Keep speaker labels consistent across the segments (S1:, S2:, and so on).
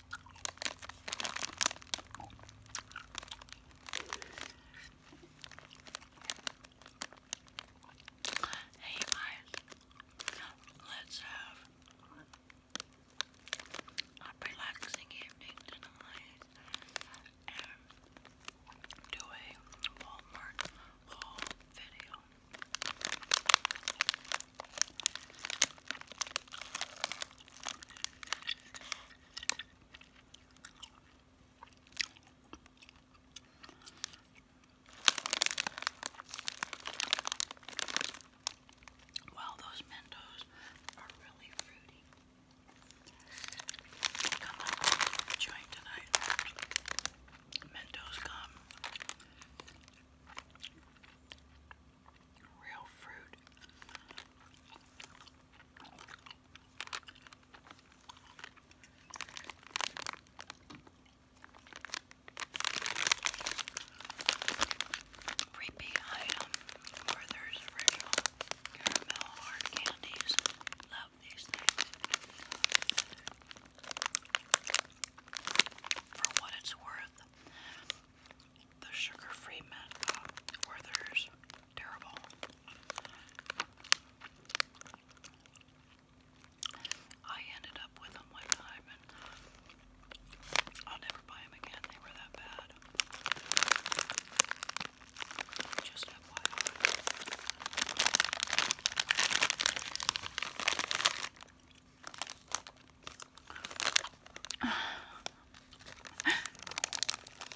S1: Hey guys, let's have a relaxing evening tonight and do a Walmart haul video. Wow, those Mentos are really fruity. Come on, join tonight. Mentos come real fruit. Repeat item Werther's original caramel hard candies. Love these things. For what it's worth, the sugar-free Metco Werther's terrible. I ended up with them one time, and I'll never buy them again. They were that bad. Just FYI.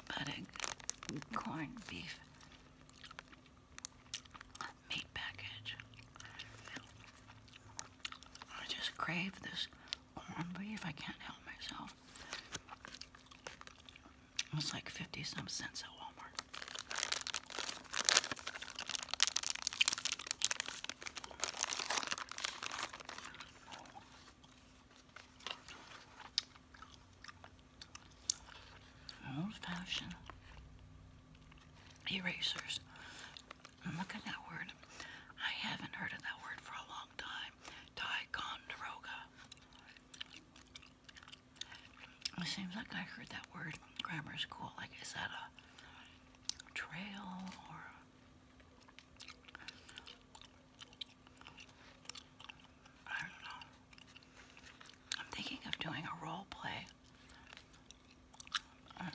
S1: Pudding, corned beef, meat package. I just crave this corned beef. I can't help myself. It like 50 some cents at Walmart. Old fashioned erasers. Look at that word. I haven't heard that word for a long time. Ticonderoga. It seems like I heard that word grammar school. Like, is that a trail or I do am thinking of doing a role play. Mm.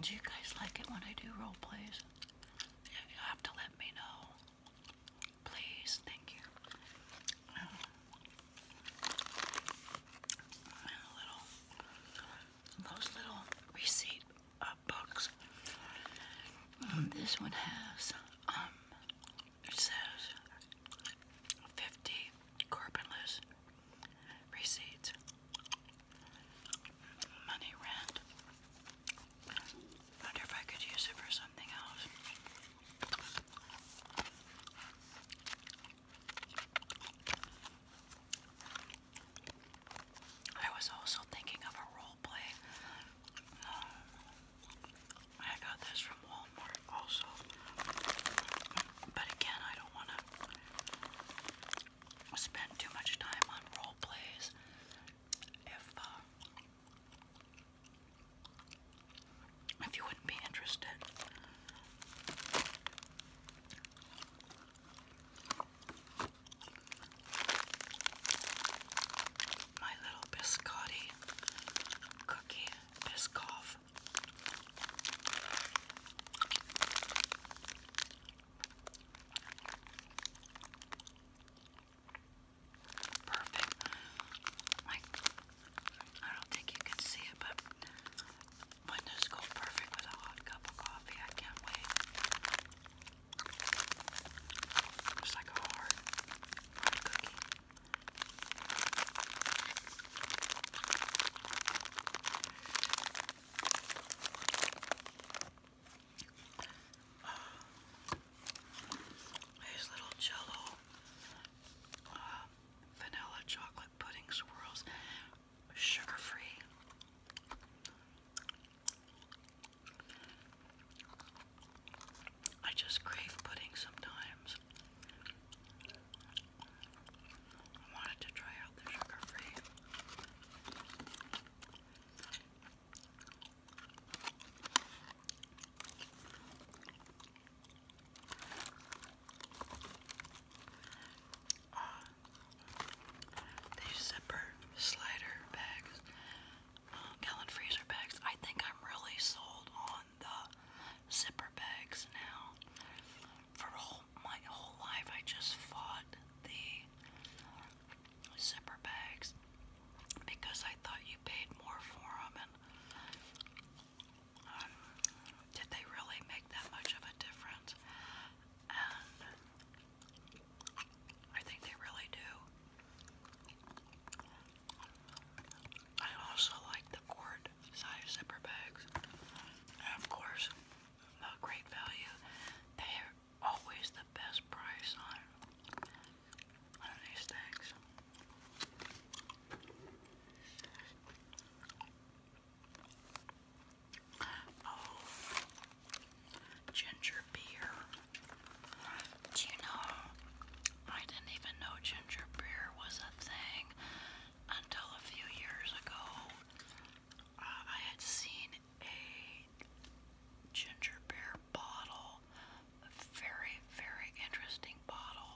S1: do you guys like it when I do role plays? You have to let me know. Please, thank you. Mm. a little, those little receipt uh, bucks. Um, this one has, um, it says 50 carbonless receipts, money rent. Wonder if I could use it for something else. I was also thinking of a role play. Uh, I got this from Walmart also. But again, I don't want to spend too much time on role plays if uh, if you wouldn't be interested. My little biscotti cookie biscoff. Perfect. I don't think you can see it, but windows go perfect with a hot cup of coffee. I can't wait. Just like a hard, cookie. Ah. these little jello uh, vanilla chocolate pudding swirls sugar free. I just crave pudding sometimes. wanted to try out the sugar free on zipper slider bags, gallon um, freezer bags. I think I'm really sold on the zipper bags now. For my whole life, I just fought the zipper bags because I thought you paid more for them. And um, did they really make that much of a difference? I think they really do. I also like the quart size zipper bags, of course, the great value. They are always the best price on on these things. Oh, ginger beer. Do you know, I didn't even know ginger beer was a thing until a few years ago. Uh, I had seen a ginger beer bottle, a very, very interesting bottle.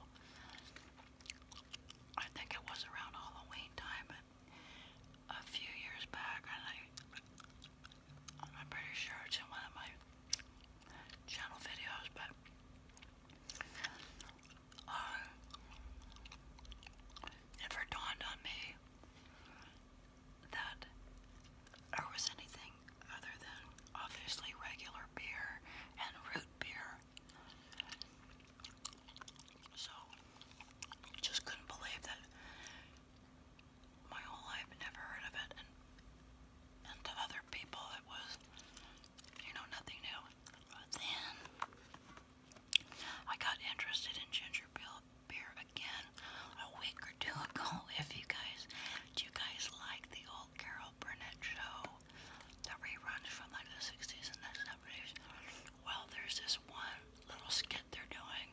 S1: I think it was around Halloween time, but a few years back, and I, I'm pretty sure it's in one of my channel videos, but never uh, dawned on me that there was anything other than obviously regular beer and root beer. So just couldn't believe that my whole life i never heard of it, and to other people it was, you know, nothing new. But then I got interested in ginger beer again a week or two ago. If you guys, do you guys like the old Carol Burnett show? that reruns from like the 60s and that's the 70s well, there's this one little skit they're doing,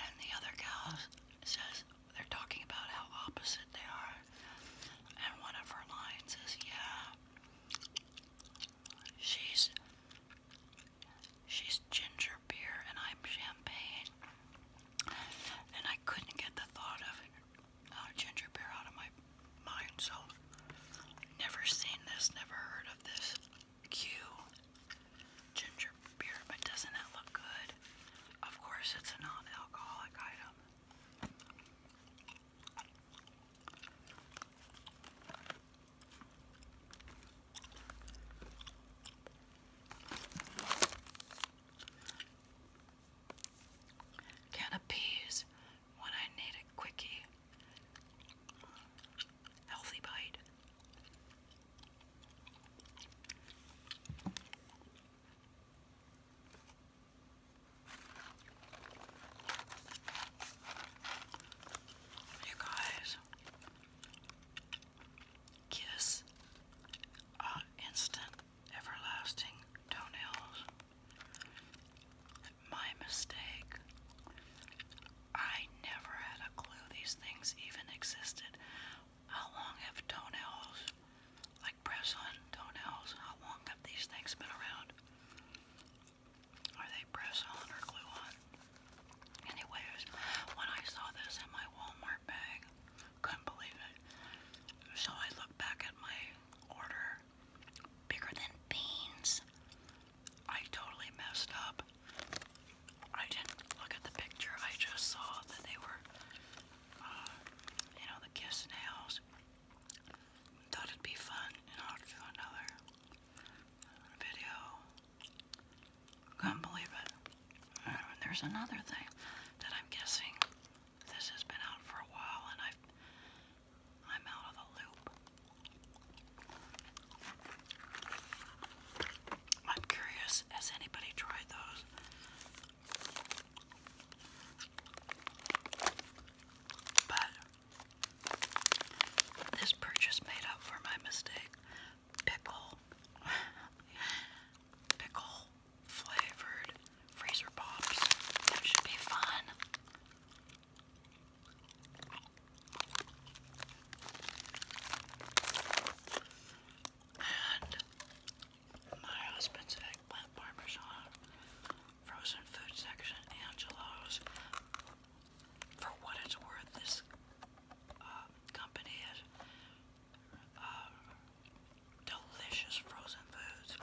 S1: and the other guy says they're talking about how opposite they are, and one of her lines is, "Yeah, she's she's ginger beer and I'm champagne," and I couldn't get the thought of uh, ginger beer out of my mind, so never seen this, never heard of this. Q ginger beer, but doesn't it look good? Of course, it's a non alcoholic item. Can appease when I need a quickie healthy bite. You guys, Kiss uh, Instant Everlasting Toenails. My mistake. I never had a clue these things even existed. How long have toenails, like press on toenails, how long have these things been around? Are they press on or glue on? Anyways, when I saw this in my Walmart bag, couldn't believe it. So I looked back at my order. Bigger than beans. I totally messed up. I didn't look at the picture. I just saw that they were, uh, you know, the kiss nails. Thought it'd be fun, another video. Can't believe it. Uh, and there's another thing that I'm guessing this has been out for a while, and I'm out of the loop. I'm curious, has anybody tried those? But this purchase made up for my mistake. Pickle, pickle flavored freezer pops. That should be fun. And my husband's eggplant parmesan, frozen food section, Angelo's. For what it's worth, this um, company is uh, delicious frozen foods.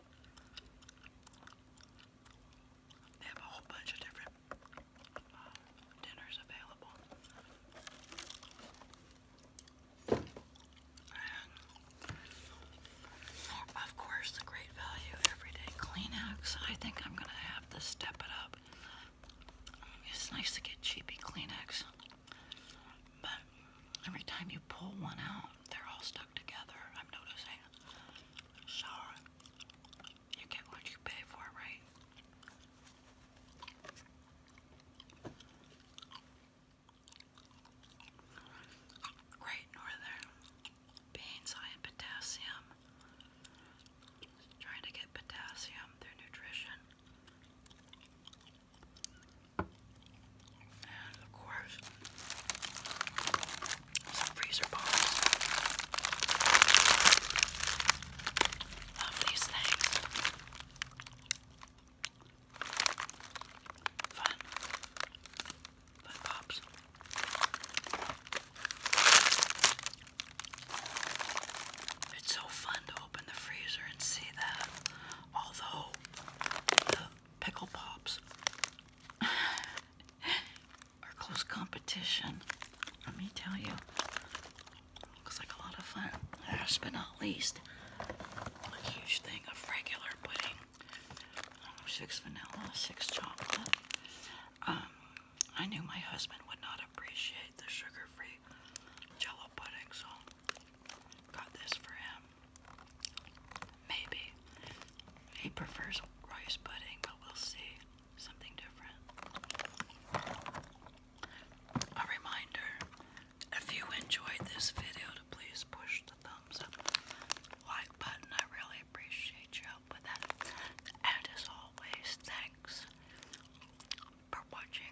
S1: They have a whole bunch of different dinners available. of course, the great value everyday Kleenex. I think I'm going to have to step it up. It's nice to get cheapy Kleenex, but every time you pull one out, they're all stuck together. I'm noticing. Shower. You get what you pay for, right? Great Northern. Beans high in potassium. Trying to get potassium through nutrition. And of course, some freezer bombs. Love these things. Fun. Fun pops. It's so fun to open the freezer and see that. Although the pickle pops or close competition. Let me tell you, looks like a lot of fun. Last but not least, a huge thing of regular pudding. Oh, six vanilla, six chocolate. Um, I knew my husband would not appreciate the sugar-free jello pudding, so got this for him. Maybe he prefers rice pudding, but we'll see something different. A reminder if you enjoyed this video to please push the thumbs up like button. I really appreciate your with that. And as always, thanks for watching.